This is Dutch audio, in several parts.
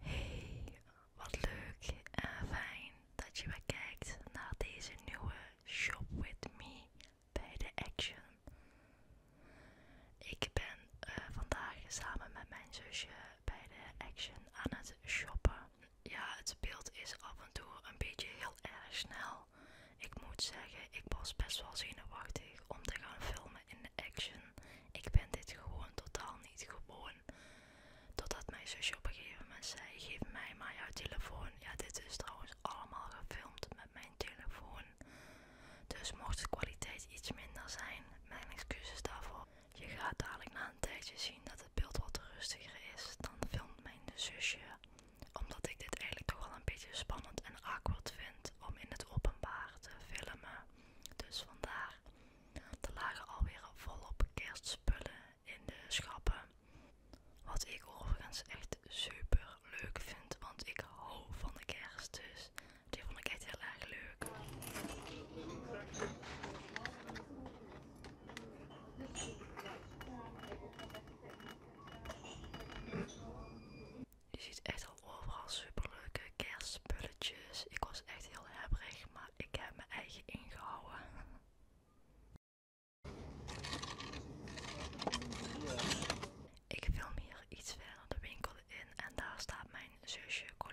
Hey, wat leuk en fijn dat je weer kijkt naar deze nieuwe Shop With Me bij de Action. Ik ben eh, vandaag samen met mijn zusje bij de Action aan het shoppen. Ja, het beeld is af en toe een beetje heel erg snel. Ik moet zeggen, ik was best wel zenuwachtig om te gaan filmen in de Action. Ik ben dit gewoon totaal niet gewoon. Totdat mijn zusje op een gegeven moment zei: Geef mij maar jouw telefoon. Ja, dit is trouwens allemaal gefilmd met mijn telefoon. Dus mocht de kwaliteit iets minder zijn, mijn excuses daarvoor. Je gaat dadelijk na een tijdje zien dat het beeld wat rustiger is. Dan filmt mijn zusje. Omdat ik dit eigenlijk toch wel een beetje spannend en awkward vind om in het openbaar te filmen. Dus vandaar. Er lagen alweer volop kerstspullen in de schappen. Wat ik overigens echt super leuk vind, want ik hou van de kerst. Dus die vond ik echt heel erg leuk. Je ziet echt al overal leuke kerstspulletjes. Ik was echt heel hebberig, maar ik heb mijn eigen ingehouden. Ik film hier iets verder de winkel in en daar staat mijn zusje Colin.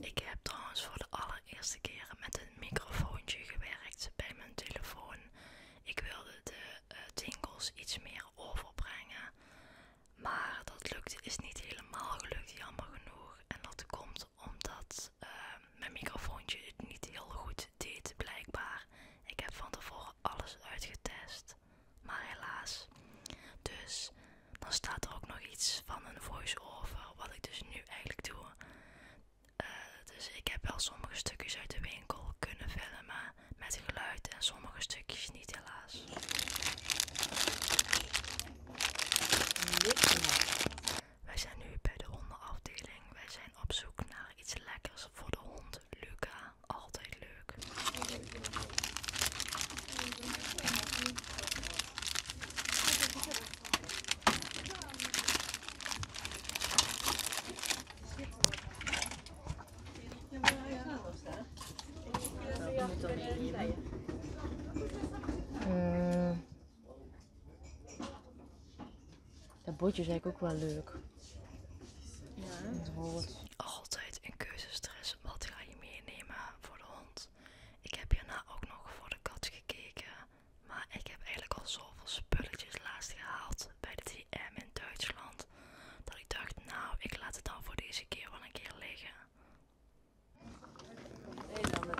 Ik heb trouwens voor de allereerste keer met een microfoontje gewerkt bij mijn telefoon. Ik wilde de uh, iets meer overbrengen. Maar dat is niet helemaal gelukt, jammer genoeg. En dat komt omdat Ehm, mijn microfoontje niet heel goed deed, blijkbaar. Ik heb van tevoren alles uitgetest, maar helaas. Dus dan staat er ook nog iets van een voice-over, wat ik dus nu eigenlijk doe. Eh, dus ik heb wel sommige stukjes uit de winkel kunnen filmen met geluid en sommige stukjes niet, helaas. Wij zijn nu bij de hondenafdeling. Wij zijn op zoek naar iets lekkers voor de hond Luca. Altijd leuk. Eh, dat botje is eigenlijk ook wel leuk. Ja. Het Altijd een keuzestress. Wat ga je meenemen voor de hond? Ik heb hierna ook nog voor de kat gekeken. Maar ik heb eigenlijk al zoveel spulletjes laatst gehaald bij de TM in Duitsland. Dat ik dacht, nou, ik laat het dan voor deze keer wel een keer liggen met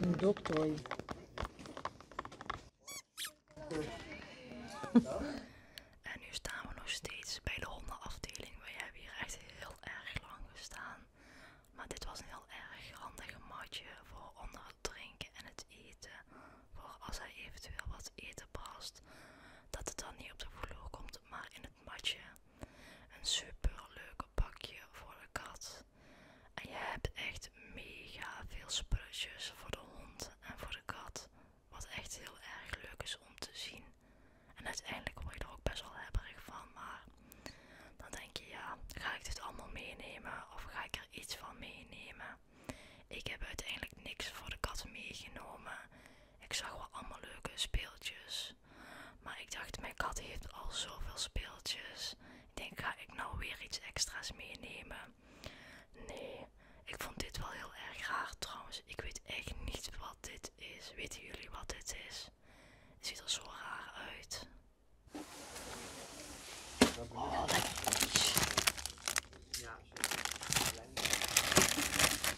met Доктор. En nu staan we nog steeds bij de hondenafdeling. We hebben hier echt heel erg lang gestaan. Maar dit was een heel erg handige matje voor onder het drinken en het eten. Voor als hij eventueel wat eten past. Dat het dan niet op de vloer komt, maar in matje. Een super leuk pakje voor de kat. En je hebt echt mega veel spulletjes voor de hond en voor de kat. Wat echt heel erg leuk is om te zien. En uiteindelijk word je er ook best wel hebberig van. Maar dan denk je ja, ga ik dit allemaal meenemen of ga ik er iets van meenemen? Ik heb uiteindelijk niks voor de kat meegenomen. Ik zag wel allemaal leuke speeltjes. Maar ik dacht, mijn kat heeft al zoveel speeltjes. Ik denk, ga ik nou weer iets extra's meenemen? Nee, ik vond dit wel heel erg raar trouwens. Ik weet echt niet wat dit is. Weten jullie wat dit is? Het ziet er zo raar uit. Oh, lekker. Ja,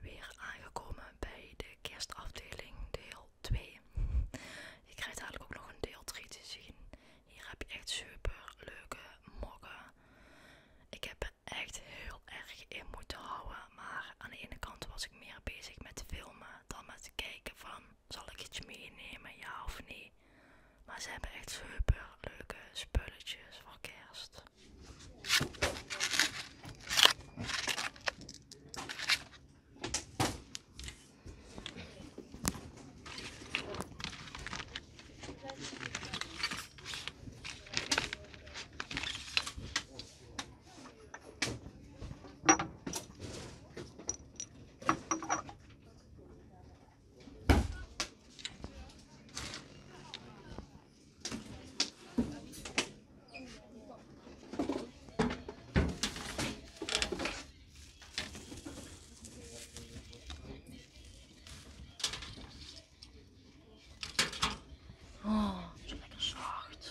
Weer aangekomen bij de kerstafdeling deel 2. Je krijgt eigenlijk ook nog een deel 3 te zien. Hier heb je echt super leuke mokken. Ik heb er echt heel erg in moeten houden. Maar aan de ene kant was ik meer bezig met filmen dan met kijken van zal ik iets meenemen, ja of nee? Maar ze hebben echt super leuke spulletjes voor kerst. Oh, is lekker zwart.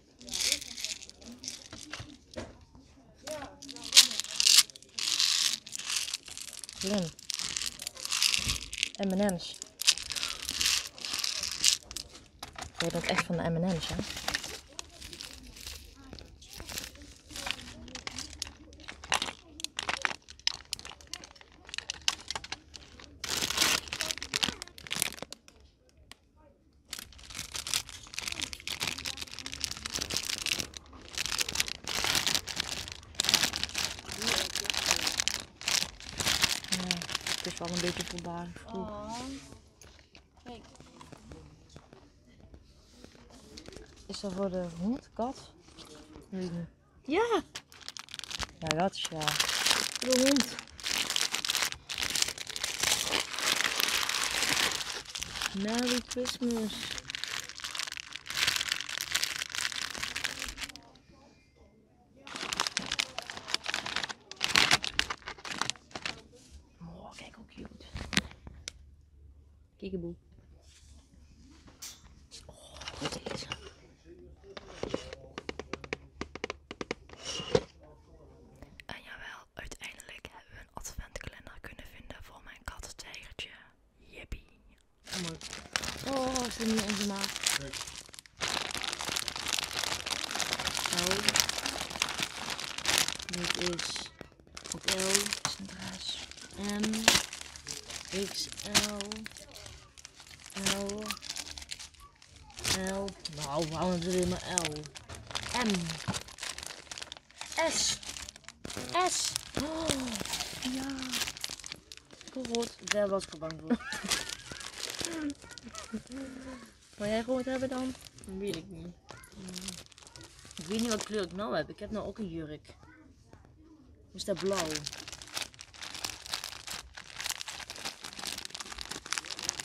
Lin. M&M's. Jij dat echt van de M&M's, hè? het is wel een beetje voldaan. Oh. Kijk. Is dat voor de hond, kat? Nee. Ja! Ja, dat is ja. De hond. Merry Christmas. Oh, kijk hoe cute. Kiekeboe. Oh, En jawel, uiteindelijk hebben we een adventkalender kunnen vinden voor mijn kattentijgertje. Jippie. Oh, mooi. Oh, ze zijn niet onze maat. dit is op L, Sinterklaas, M, XL, L, L. Nou, we houden er weer maar L? M. S. S. ja. Goed, daar was ik bang voor. Wil jij het hebben dan? Dat weet ik niet. Ik weet niet wat kleur ik nou heb. Ik heb nou ook een jurk. Is dat blauw?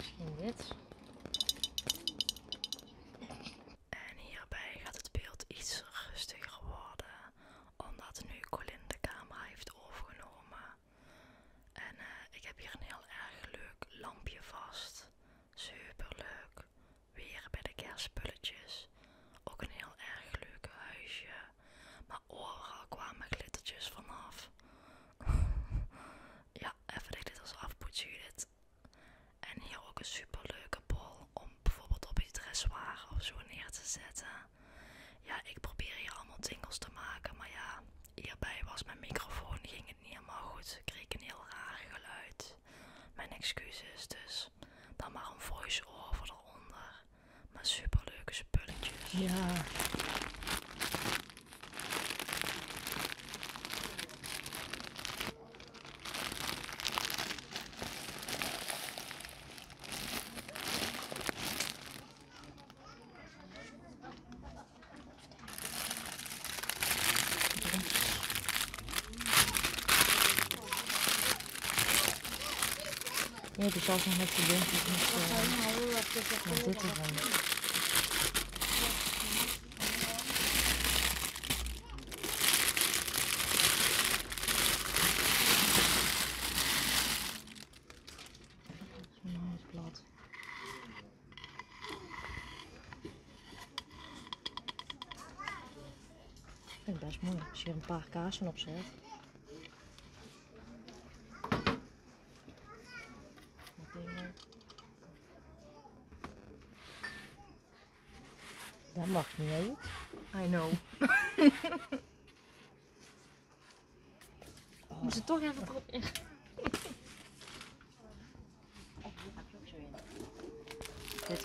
Zo, dit. En hierbij gaat het beeld iets rustiger worden, omdat nu Colin de camera heeft overgenomen. En eh, ik heb hier een heel erg leuk lampje vast. Super leuk. Weer bij de kerstspulletjes. Ook een heel erg leuk huisje. Mijn oren kwamen glittertjes vanaf. ja, even de glitters afpoetsen Judith. En hier ook een super leuke bol om bijvoorbeeld op je dressoir of zo neer te zetten. Ja, ik probeer hier allemaal tingels te maken, maar ja, hierbij was mijn microfoon, ging het niet helemaal goed. Ik kreeg een heel raar geluid. Mijn excuses dus. Dan maar een voice-over eronder maar superleuke spulletjes. Ja ja dus als nog met studenten niet eh, nou Ik vind het best mooi als je een paar kaarsen op dat mag niet, I know. Moet ze toch even oh. erop in. Dit.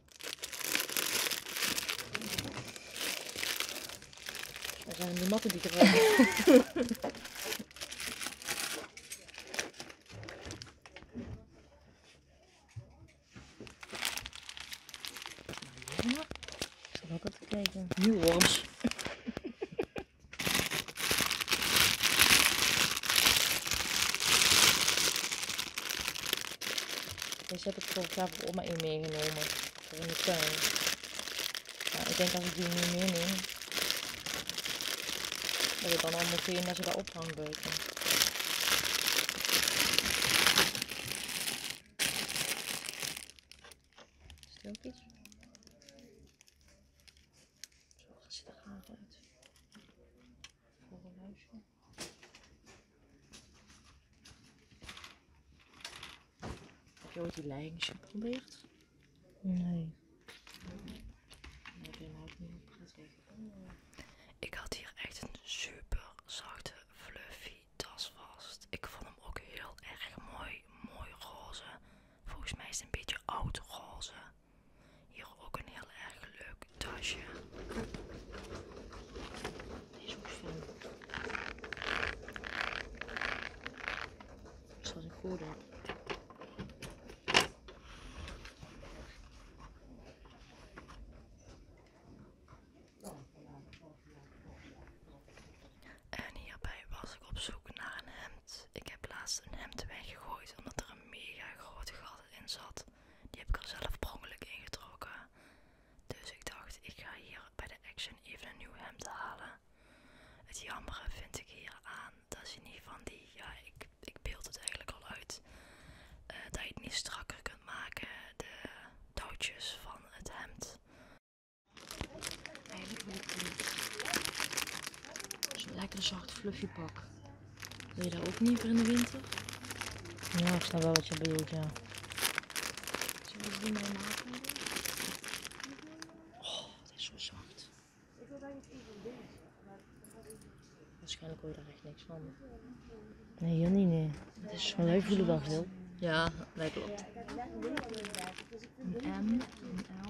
Daar zijn de matten die er Ja, ik zal ook te kijken. Nieuw worms. Deze heb ik voor elkaar voor oma in meegenomen. Dat is nou, ik denk als ik die nu meer neem, dat ik dan al moet dat ze daar ophangbeuken. Stilpjes. Zo gaat ze er gaten uit. Voor een huisje. Heb je ook die leiding geprobeerd? Nee. Ik had hier echt een super zachte fluffy tas vast. Ik vond hem ook heel erg mooi, mooi roze. Volgens mij is het een beetje oud roze. Hier ook een heel erg leuk tasje. Die is Dat is wat ik En hierbij was ik op zoek naar een hemd. Ik heb laatst een hemd weggegooid omdat er een mega grote gat in zat. Die heb ik er zelf prongelijk ingetrokken. Dus ik dacht, ik ga hier bij de Action even een nieuw hemd halen. Het jammere vind ik hier aan, dat je niet van die, ja, ik, ik beeld het eigenlijk al uit, eh, dat je het niet strakker kunt maken, de touwtjes van het hemd. Eigenlijk wil ik niet. Zo'n lekker zacht fluffy pak. Wil je dat ook niet voor in de winter? Ja, is nou wel wat je bedoelt, ja. Zullen we Oh, het is zo zacht. Ik wil daar niet iets van Waarschijnlijk hoor je daar echt niks van. Nee, hier nee. Het is zo leuk wel. heel. Ja, dat klopt. Een M, L.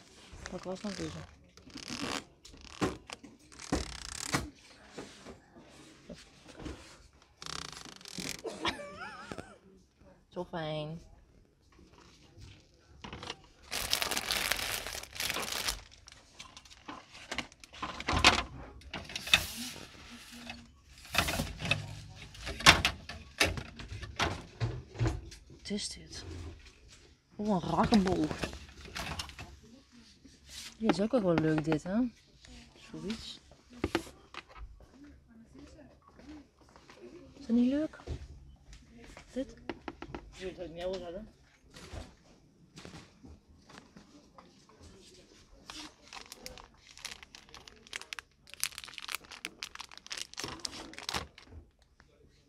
Wat was nou Zo fijn. Wat is dit? Oh, een is ook wel leuk dit, hè? Zoiets. Is dat niet leuk? Dit? Je ik niet wil hebben.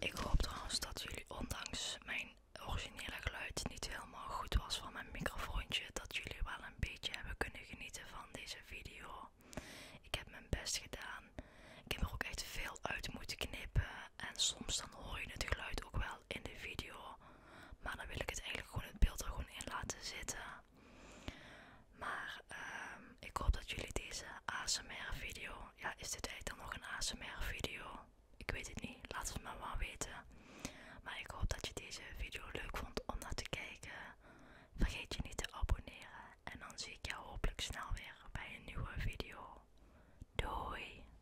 Ik hoop trouwens dat jullie ondanks mijn originele geluid niet helemaal goed was van mijn microfoontje, dat jullie wel een beetje hebben kunnen genieten van deze video. Ik heb mijn best gedaan. Ik heb er ook echt veel uit moeten knippen en soms dan hoor je het geluid ook wel in de video. Maar dan wil ik het eigenlijk gewoon het beeld er gewoon in laten zitten. Maar ehm, ik hoop dat jullie deze ASMR video. Ja, is dit eigenlijk dan nog een ASMR video? Ik weet het niet. Laat het me maar weten. Maar ik hoop dat je deze video leuk vond om naar te kijken. Vergeet je niet te abonneren. En dan zie ik jou hopelijk snel weer bij een nieuwe video. Doei!